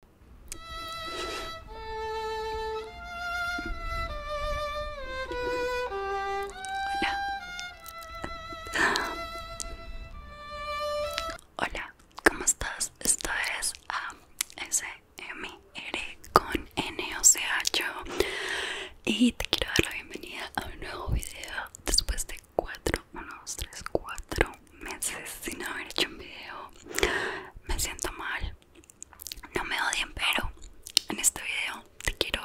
Hola. Hola, ¿cómo estás? Esto es ASMR ah, con N, o sea, yo. Y te quiero dar la bienvenida a un nuevo video después de 4, 1, 2, 3, 4 meses sin haber hecho un video. Me siento mal. No me odien, pero en este video te quiero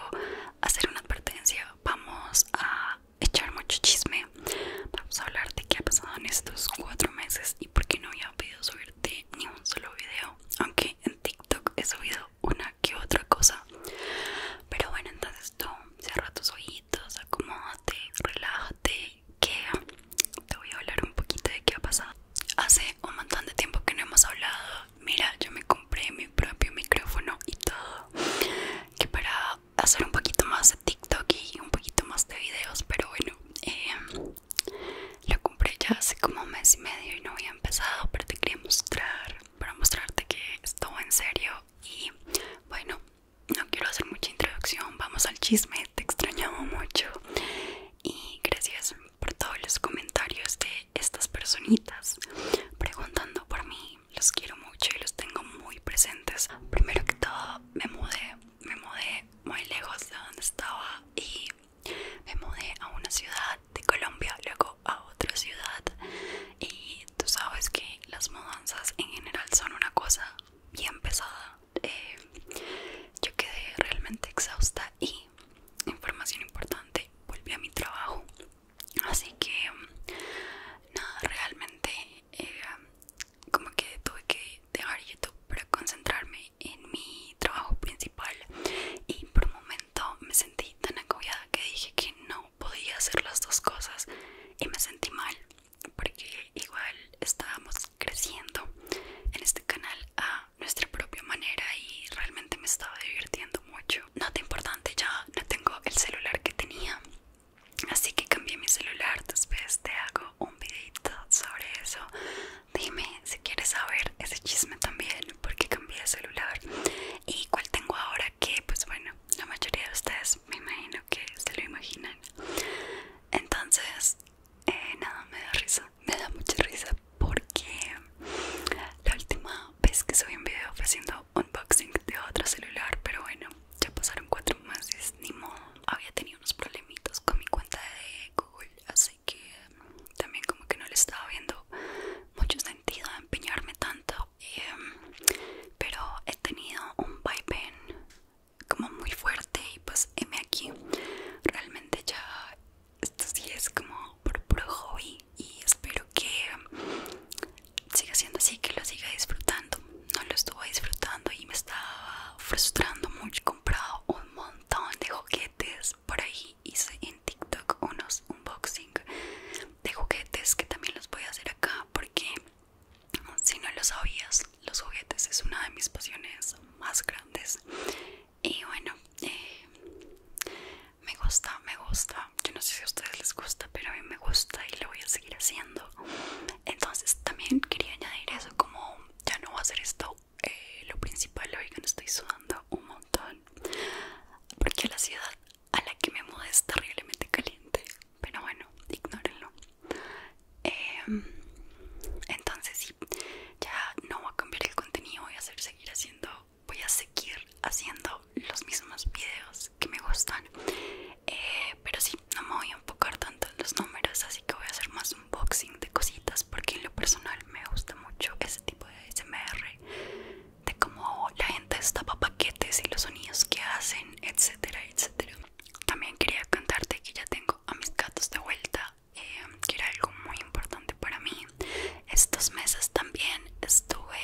hacer una advertencia. Vamos a echar mucho chisme. Vamos a hablar de qué ha pasado en estos cuatro meses y por qué no había podido subirte ni un solo video. Aunque en TikTok he subido una que otra cosa. Pero bueno, entonces tú, cierra tus ratos acomódate, relájate, que te voy a hablar un poquito de qué ha pasado. Hace un montón de tiempo que no hemos hablado. Mira, yo me compré mi propio micrófono y todo. Que para hacer un poquito más de TikTok y un poquito más de videos, pero bueno, em, lo compré ya hace como un mes y medio y no había empezado, pero te quería mostrar, para mostrarte que esto en serio. Y bueno, no quiero hacer mucha introducción, vamos al chisme, te extrañamos mucho y gracias por todos los comentarios de estas personitas preguntando por mí, los quiero mucho y los tengo muy presentes. Primero que todo me mudé, me mudé muy lejos de donde estaba y me mudé a una ciudad de Colombia, luego a otra ciudad y tú sabes que las mudanzas en general son una cosa bien pesada. Eh, yo quedé realmente exhausta y, información importante, volví a mi trabajo. Así que, mm, nada, realmente eh, como que tuve que dejar YouTube para concentrarme en mi trabajo principal y por un momento me sentí tan agobiada que dije que no podía hacer las dos cosas y me sentí mal porque igual estábamos creciendo en este canal a nuestra propia manera y realmente me estaba divirtiendo mucho. Nota importante, ya no tengo el celular que tenía, así que cambié mi celular, después te hago un videito sobre eso. Dime si quieres saber ese chisme también, porque cambié de celular y cuál tengo ahora que pues bueno, la mayoría de ustedes pues, me imagino que se lo imaginan. Entonces, eh, nada, me da risa, me da mucha risa porque la última vez que subí un video ofreciendo haciendo unboxing de otro celular, pero bueno, ya pasaron cuatro meses, ni modo. Había tenido unos problemitos con mi cuenta de Google, así que también como que no le estaba viendo mucho sentido empeñarme tanto Em, pero he tenido un vaivén como muy fuerte y pues M aquí realmente ya esto sí es como por puro hobby y espero que siga siendo así, que lo siga disfrutando. No lo estuve disfrutando y me estaba frustrando mucho. He comprado un montón de juguetes por ahí, hice en TikTok unos unboxing de juguetes que también los voy a hacer acá porque si no lo sabías los juguetes es una de mis pasiones más grandes y bueno eh, me gusta me gusta yo no sé si a ustedes les gusta pero a mí me gusta y lo voy a seguir haciendo entonces también quería añadir eso como ya no voy a hacer esto eh, lo principal oigan estoy sudando un montón porque la ciudad a la que me mudé terriblemente caliente, pero bueno, ignórenlo. Em, entonces sí, ya no voy a cambiar el contenido, voy a seguir haciendo, voy a seguir haciendo los mismos videos que me gustan, eh, pero sí, no me voy a enfocar tanto en los números, así que voy a hacer más unboxing de cositas porque en lo personal me gusta mucho ese tipo de SMR de cómo la gente destapa paquetes y los sonidos que hacen, etcétera, etcétera. También quería contarte que ya tengo a mis gatos de vuelta, em, que era algo muy importante para mí. Estos meses también estuve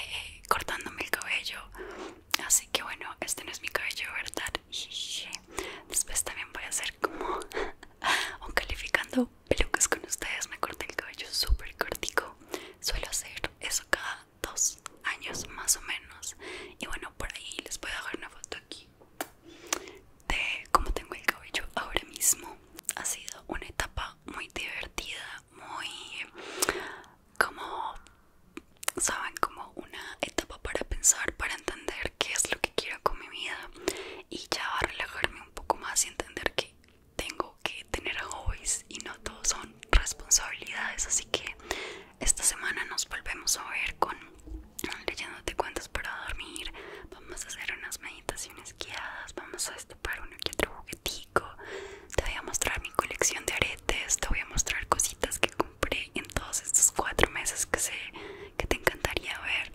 cortándome el cabello, así que bueno, este no es mi cabello, ¿verdad? Después también voy a hacer como un calificando pelucas con ustedes. Me corté el cabello súper cortico. Suelo hacer eso cada dos años más o menos. Y bueno, por ahí les voy a dejar una foto aquí de cómo tengo el cabello ahora mismo. Ha sido una etapa muy divertida, muy como, saben, como una etapa para pensar, para entender qué es lo que quiero con mi vida y ya relajarme un poco más y entender que tengo que tener hobbies y no todos son responsabilidades. Así que esta semana nos volvemos a ver con leyéndote cuentos para dormir. Vamos a hacer unas meditaciones guiadas. Vamos a destapar uno que otro juguetico. Te voy a mostrar mi colección de aretes. Te voy a mostrar cositas que compré en todos estos cuatro meses que sé que te encantaría ver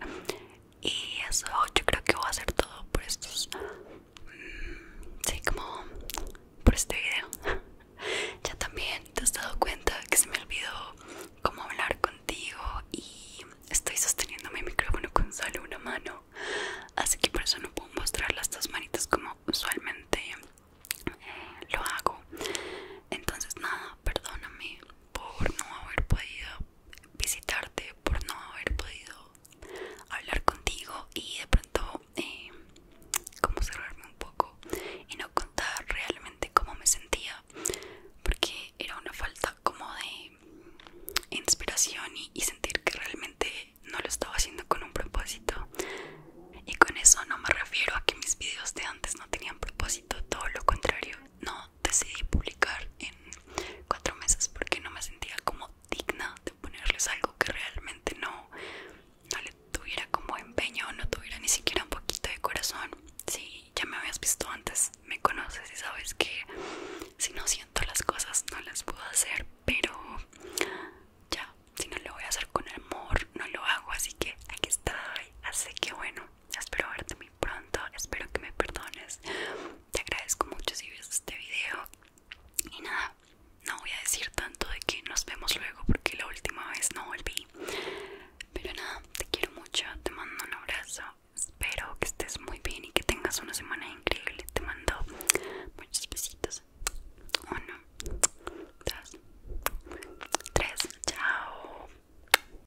y eso yo creo que voy a hacer todo por estos mm, sí como por este video ya también te has dado cuenta que se me olvidó cómo hablar contigo y estoy sosteniendo mi micrófono con solo una mano así que por eso no puedo mostrar las dos manitas como usualmente eh, lo hago entonces nada perdóname por no haber podido visitarte, por no haber podido hablar contigo y de pronto eh, como cerrarme un poco y no contar realmente cómo me sentía porque era una falta como de inspiración y, y sentir que realmente no lo estaba haciendo con un propósito y con eso no me refiero a que mis videos de antes no tenían propósito, todo lo contrario, no, decidí publicar en cuatro meses porque no me sentía como digna de ponerles algo que realmente no, no le tuviera como empeño, no tuviera ni siquiera un poquito de corazón. Si ya me habías visto antes, me conoces y sabes que si no siento las cosas no las puedo hacer, pero ya, si no lo voy a hacer con amor, no lo hago, así que aquí está, Así que bueno, espero verte muy pronto, espero que me perdones. Te agradezco mucho si ves este video. Y nada, no voy a decir tanto de que nos vemos luego porque la última vez no volví. Pero nada, te quiero mucho, te mando un abrazo. Espero que estés muy bien y que tengas una semana increíble. Te mando muchos besitos. Uno, dos, tres. Chao.